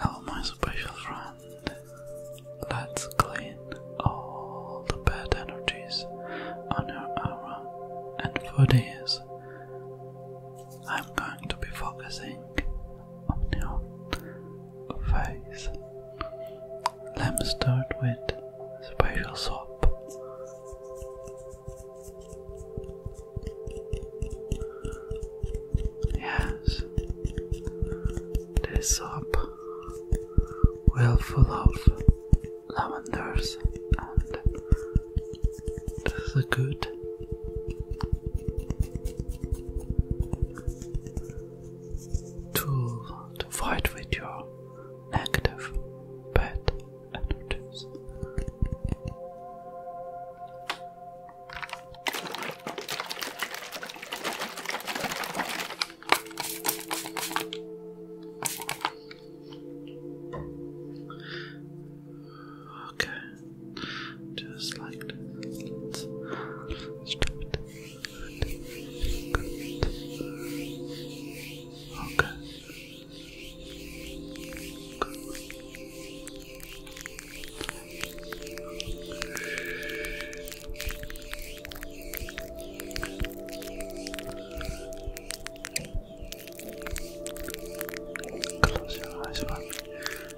Oh, my special friend, let's clean all the bad energies on your aura and for this, I'm going to be focusing on Let me start with special soap. Yes, this soap will full of lavenders and this is good tool to fight with your negative bad energies. Okay. Just like this. let it. Okay. Close your eyes for me.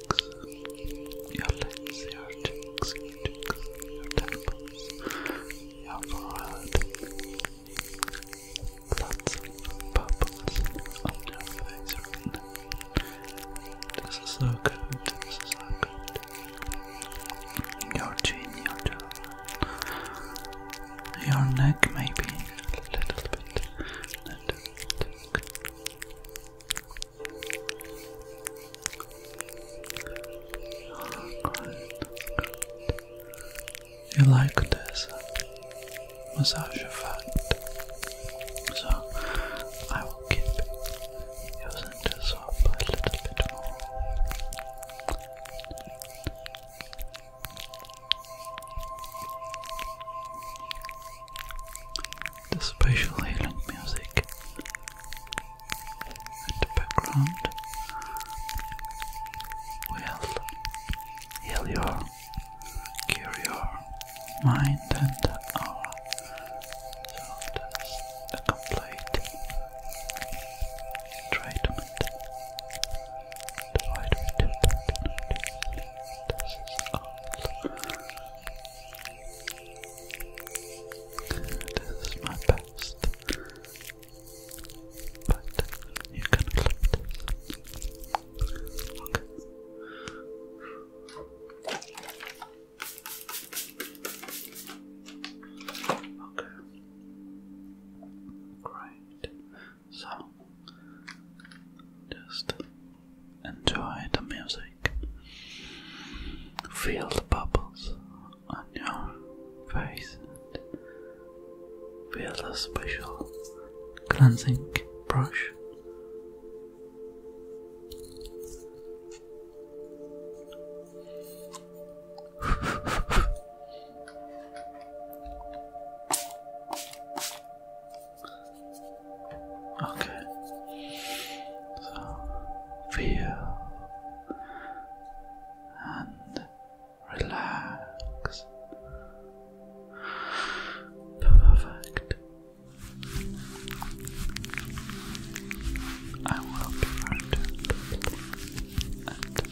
your lips, your cheeks, your, temples, your forehead, lots of bubbles on your face This is so good, this is so good. Your chin, your jaw, your neck maybe a Little bit. You like this massage effect, so I will keep using this up a little bit more the special healing music in the background will heal your, cure your mind and aura. So that's a complete treatment. The way we do that nowadays, this is this is my best, but you can accept this. Okay. Okay. Great. So, just Enjoy the music. Feel the bubbles on your face. Feel the special cleansing brush. Okay. feel and relax. Perfect. I will be frightened and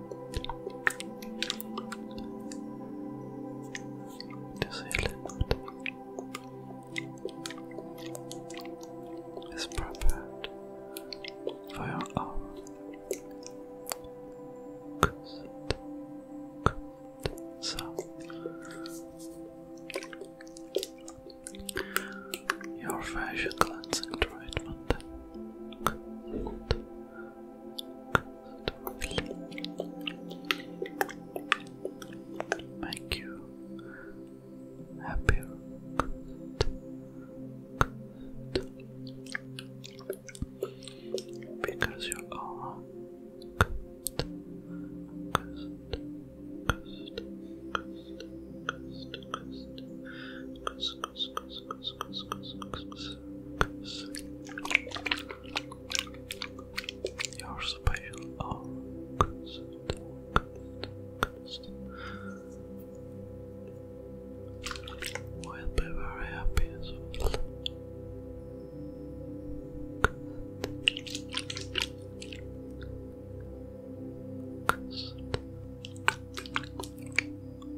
Just a little It's prepared for your own So your facial cleansing treatment. Thank you. Happy. Because you are you are special We'll be very happy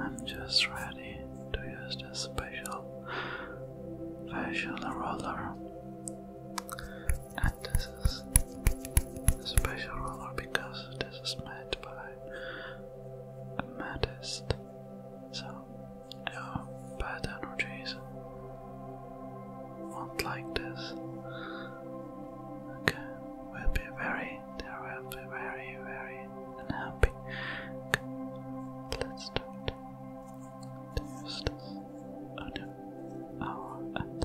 I'm just ready to use this special facial roller. And this is a special roller because this is made by the maddest. So, no bad energies not like this. Okay, we'll be very, there very, very unhappy. Okay, let's do this. Oh no. Oh, and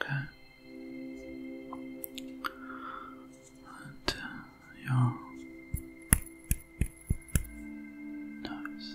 Okay. And your nose.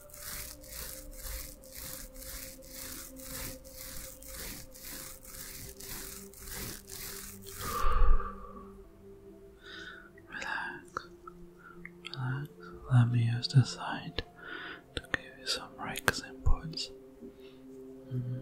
Relax, relax. Let me use the side to give you some relaxing points. Mm-hmm.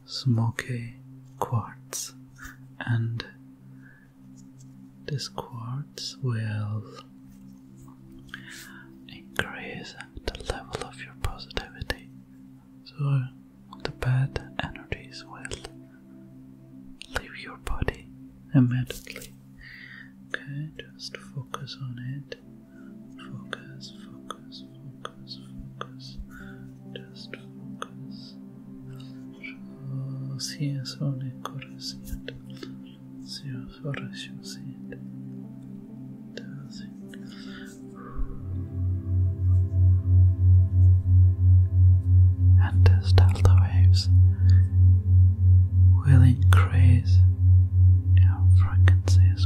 smoky quartz, and this quartz will increase the level of your positivity. So the bad energies will leave your body immediately. Okay, just focus on it. Focus, focus, focus, focus. Just focus. Rosías onecorasiat. Seus orasiusit. Does it? And as delta waves will increase, your frequencies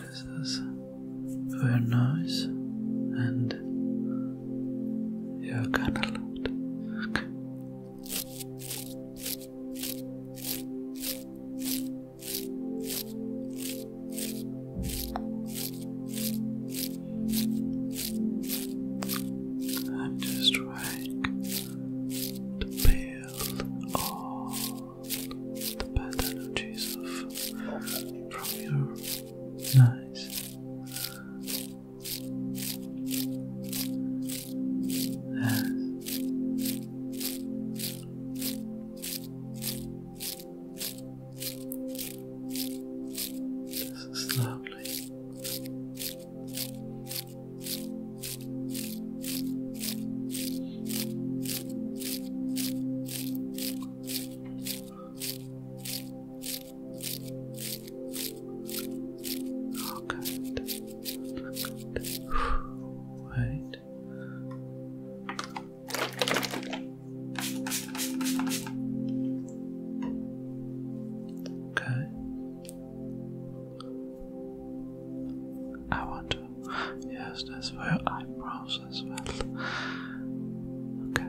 This is very nice, and you're gonna love and just drag the peel all the bad energies off from your eyes slowly. Oh, good. good. Wait. Okay. I want to. Yes, that's for eyebrows as well. Okay.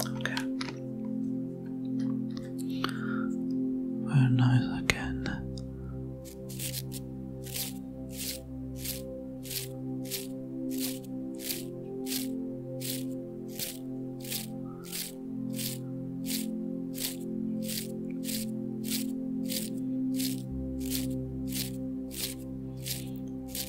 Okay. Very nice again.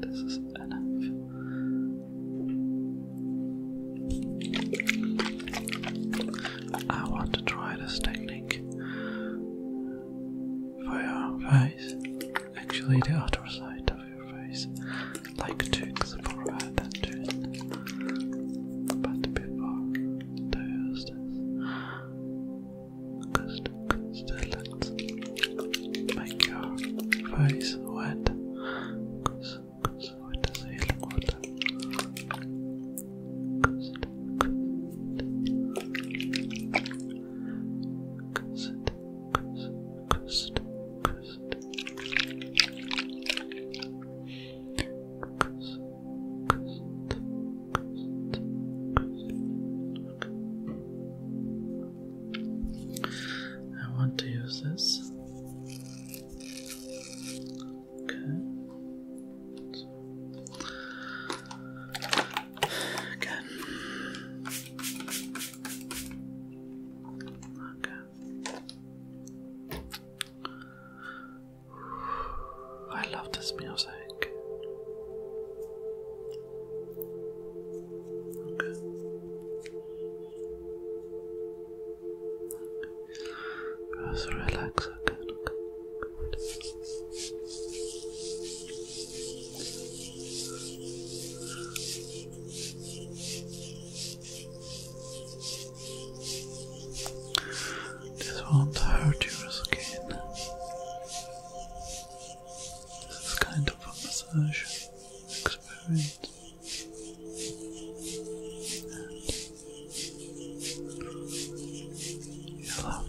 This is enough. I want to try this technique for your face. Actually, the other side of your face, like to the forehead But before to use this, because the that make your face wet cause, cause wet as healing water cause it, cause it, cause it, cause it, cause it. Cause, cause it, cause it, cause it. I want to use this. Okay. So. Okay. I love this music. Just relax again. Okay. This won't hurt your skin. This is kind of a massage. Alright. You're loud.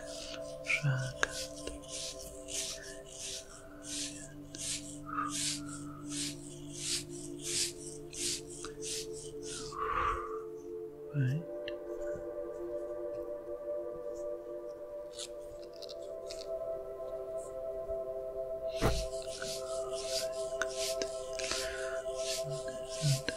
Shaka. Right. Good.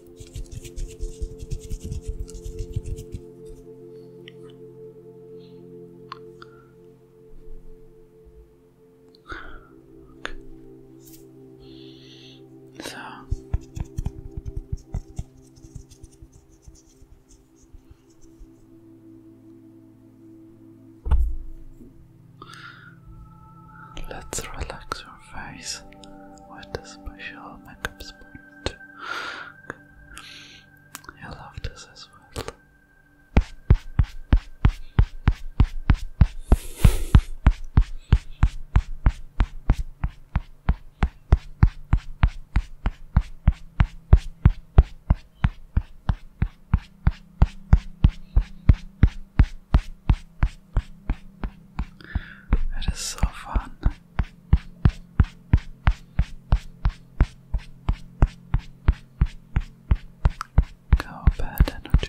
So let's relax your face with a special makeup spot. I love this as well. It is so fun. Go bad energy.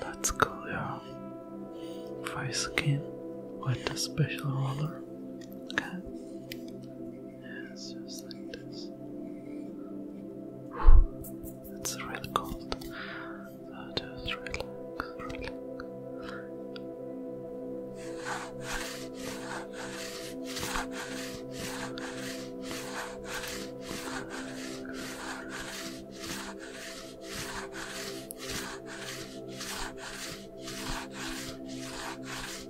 That's cool, yeah. Five skin with the special roller. Okay. Yes, just like this. It's really cold. just Relax.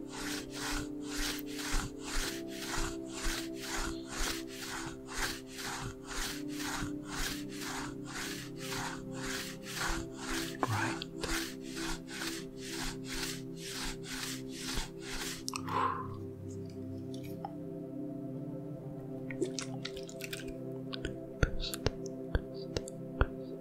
Right. Best,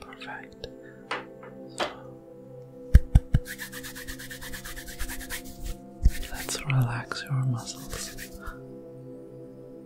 Perfect. let's relax your muscles.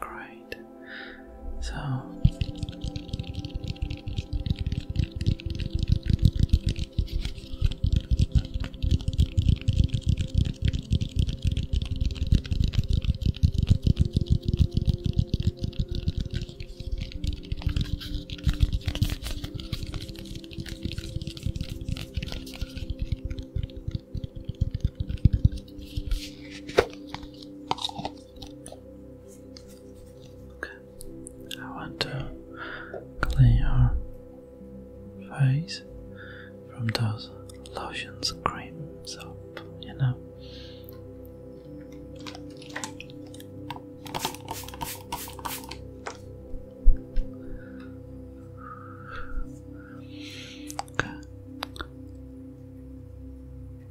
Great. So Okay, I want to clean your face from those lotions, creams, soap, you know.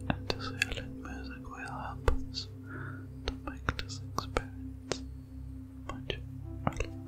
And the silent music will help us to make this experience much relaxing.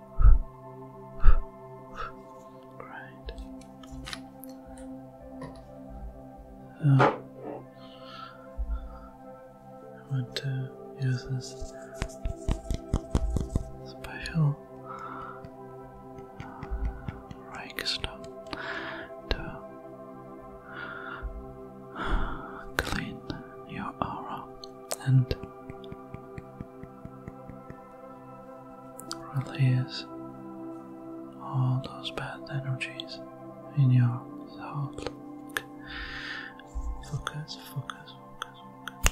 I want to use this special rake to clean your aura and Release all those bad energies in your thought. Focus, focus, focus, focus.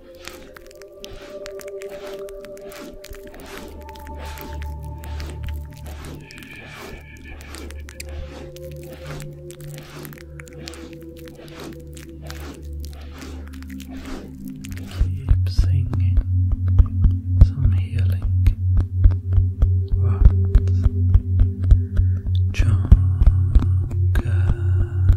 Keep singing some healing words. Chonka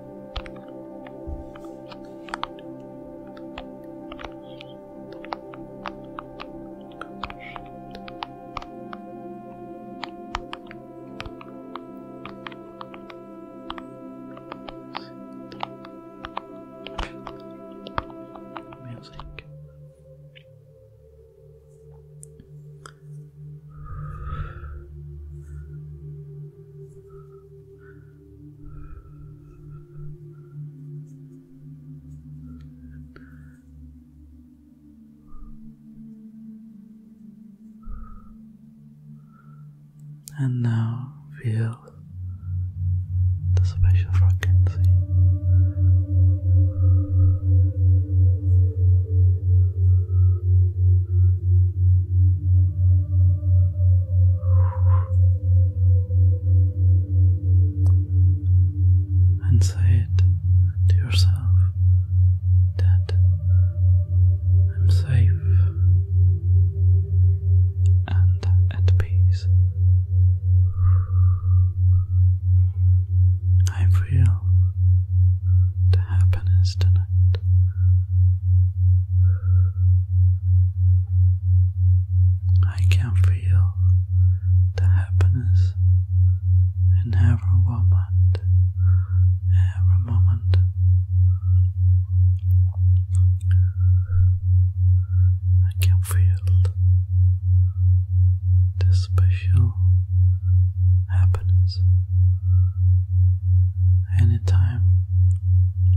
Music. And now feel the special frequency and say it to yourself that I'm safe and at peace. I feel the happiness tonight. I can feel the happiness in every moment, every moment. I can feel the special happiness anytime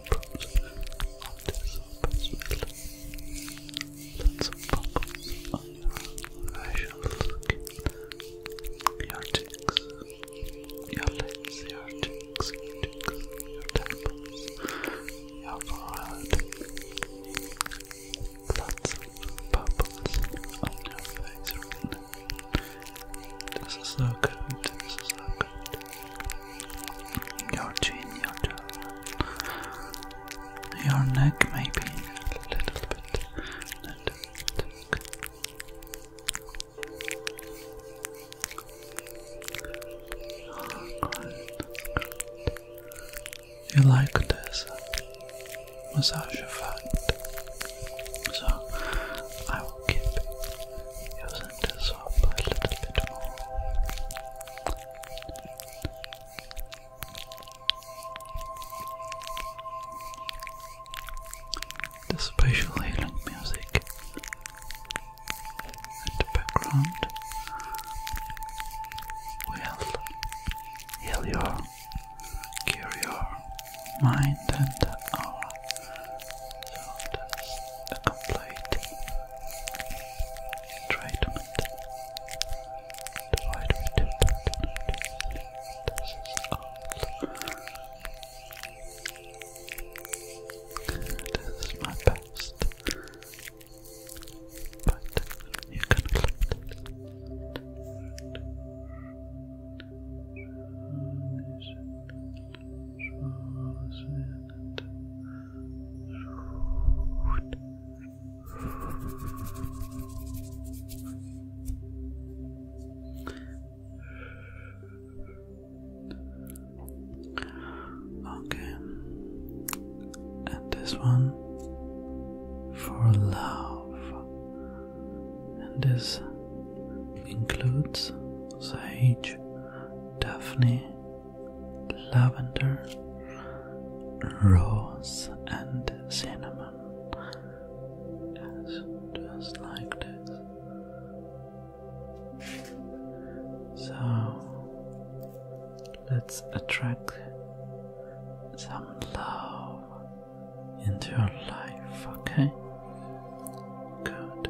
your cheeks, your lips, your cheeks, your cheeks, your temples, your forehead. Lots of bubbles on your face right This is so good, this is so good your chin, your jaw, your neck, maybe a little bit. you like this massage effect, so I will keep using centers up a little The spatial healing music in the background will heal your, cure your mind and aura. So that's complete Try to maintain. Why do we This is all. This is my best. But you can accept it. Okay, and this one for love, and this includes Sage, Daphne, lavender, rose, and cinnamon. just like this. So let's attract some love into your life, okay? good.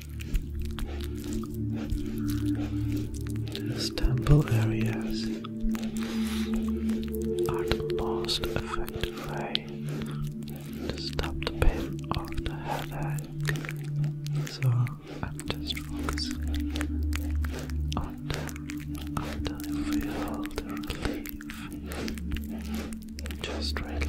These temple areas are the most effective way to stop the pain of the headache. So I'm just focusing on until you feel the relief. Just relax.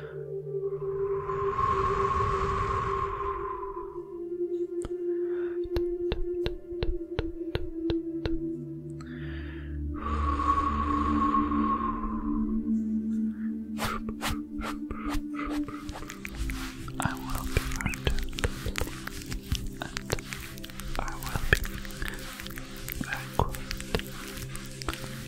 I will be burdened and I will be very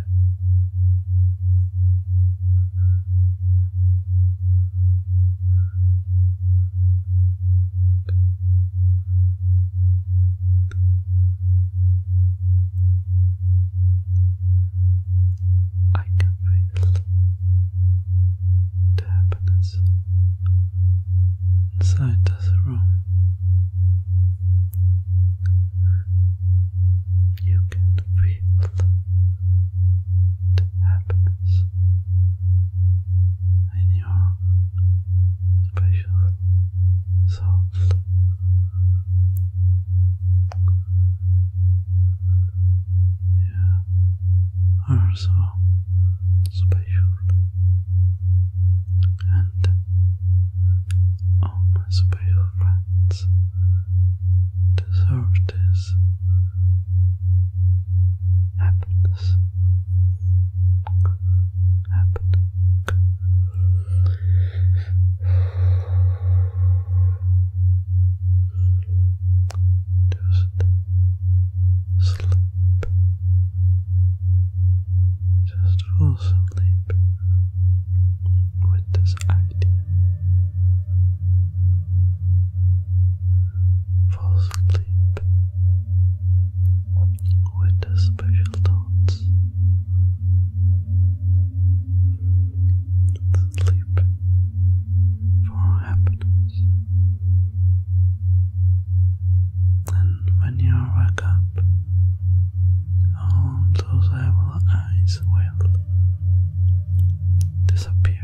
I can feel the happiness inside this room. You can feel to happiness in your special soul. You are special and all special friends the this. happens happening just sleep just fall asleep with this idea. Fall asleep with the special thoughts. Sleep for happiness. And when you wake up, all those evil eyes will disappear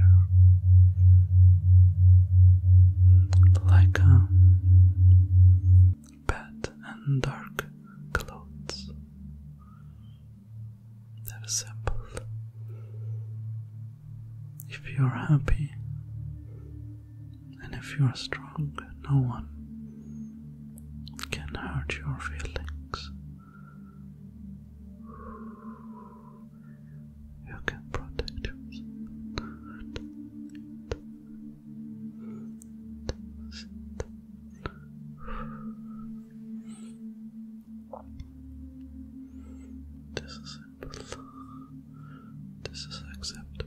like a bed and dark clothes that is simple if you're happy and if you're strong no one can hurt your feelings you can protect us. This is simple. This is acceptable.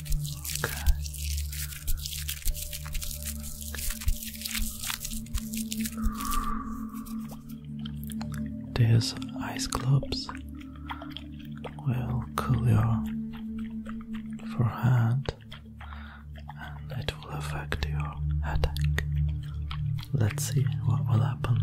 These ice globes will cool your forehead and it will affect your headache. Let's see what will happen.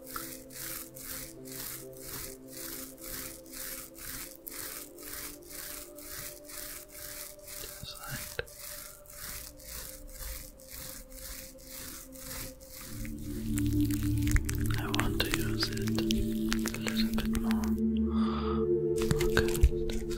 Just like I want to use it a little bit more. Okay, this is good.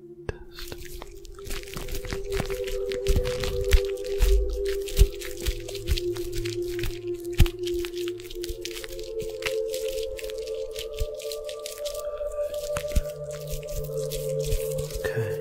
test. Okay.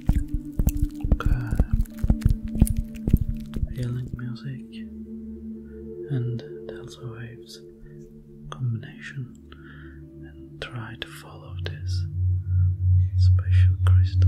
occur. music and delta waves combination, and try to follow this special crystal.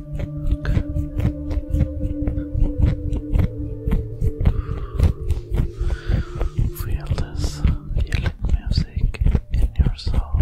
Feel this healing music in your soul.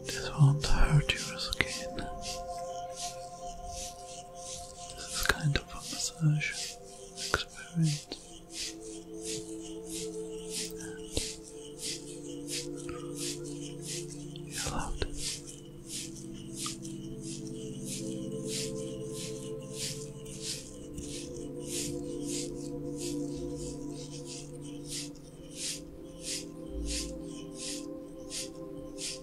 This won't hurt yours again. This is kind of a massage experience. you're allowed.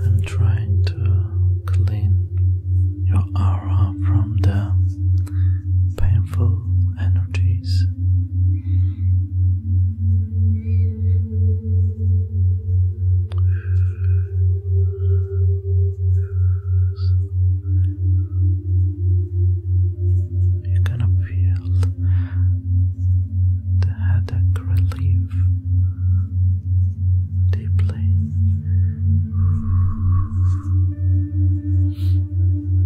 I'm trying to clean your aura from the painful energies. You kind of feel the headache relief deeply.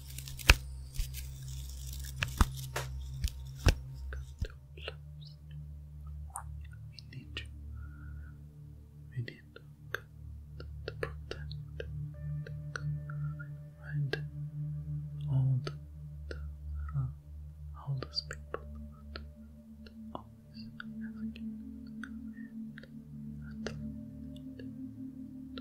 cut we need to, we need to cut the protect, All the, all those people that always asking and, and,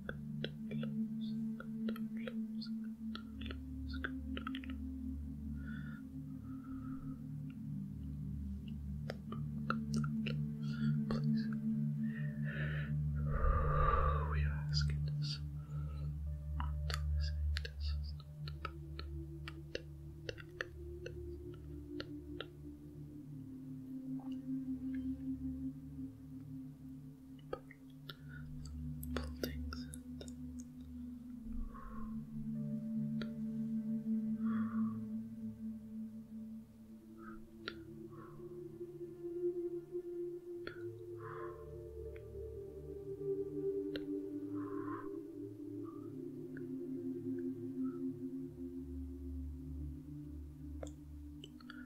Please. We are asking this. This, this is not Back buildings and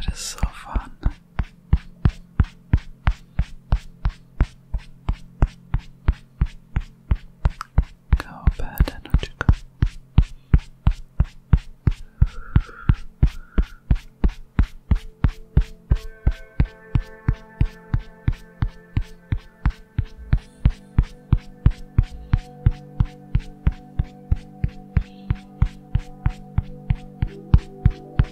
it is so fun. Go bad energy go. Go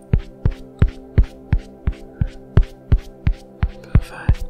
Perfect. Good.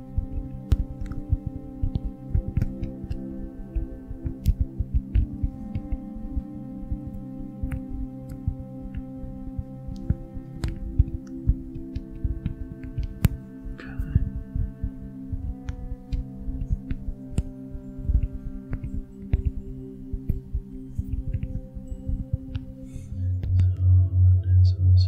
So that's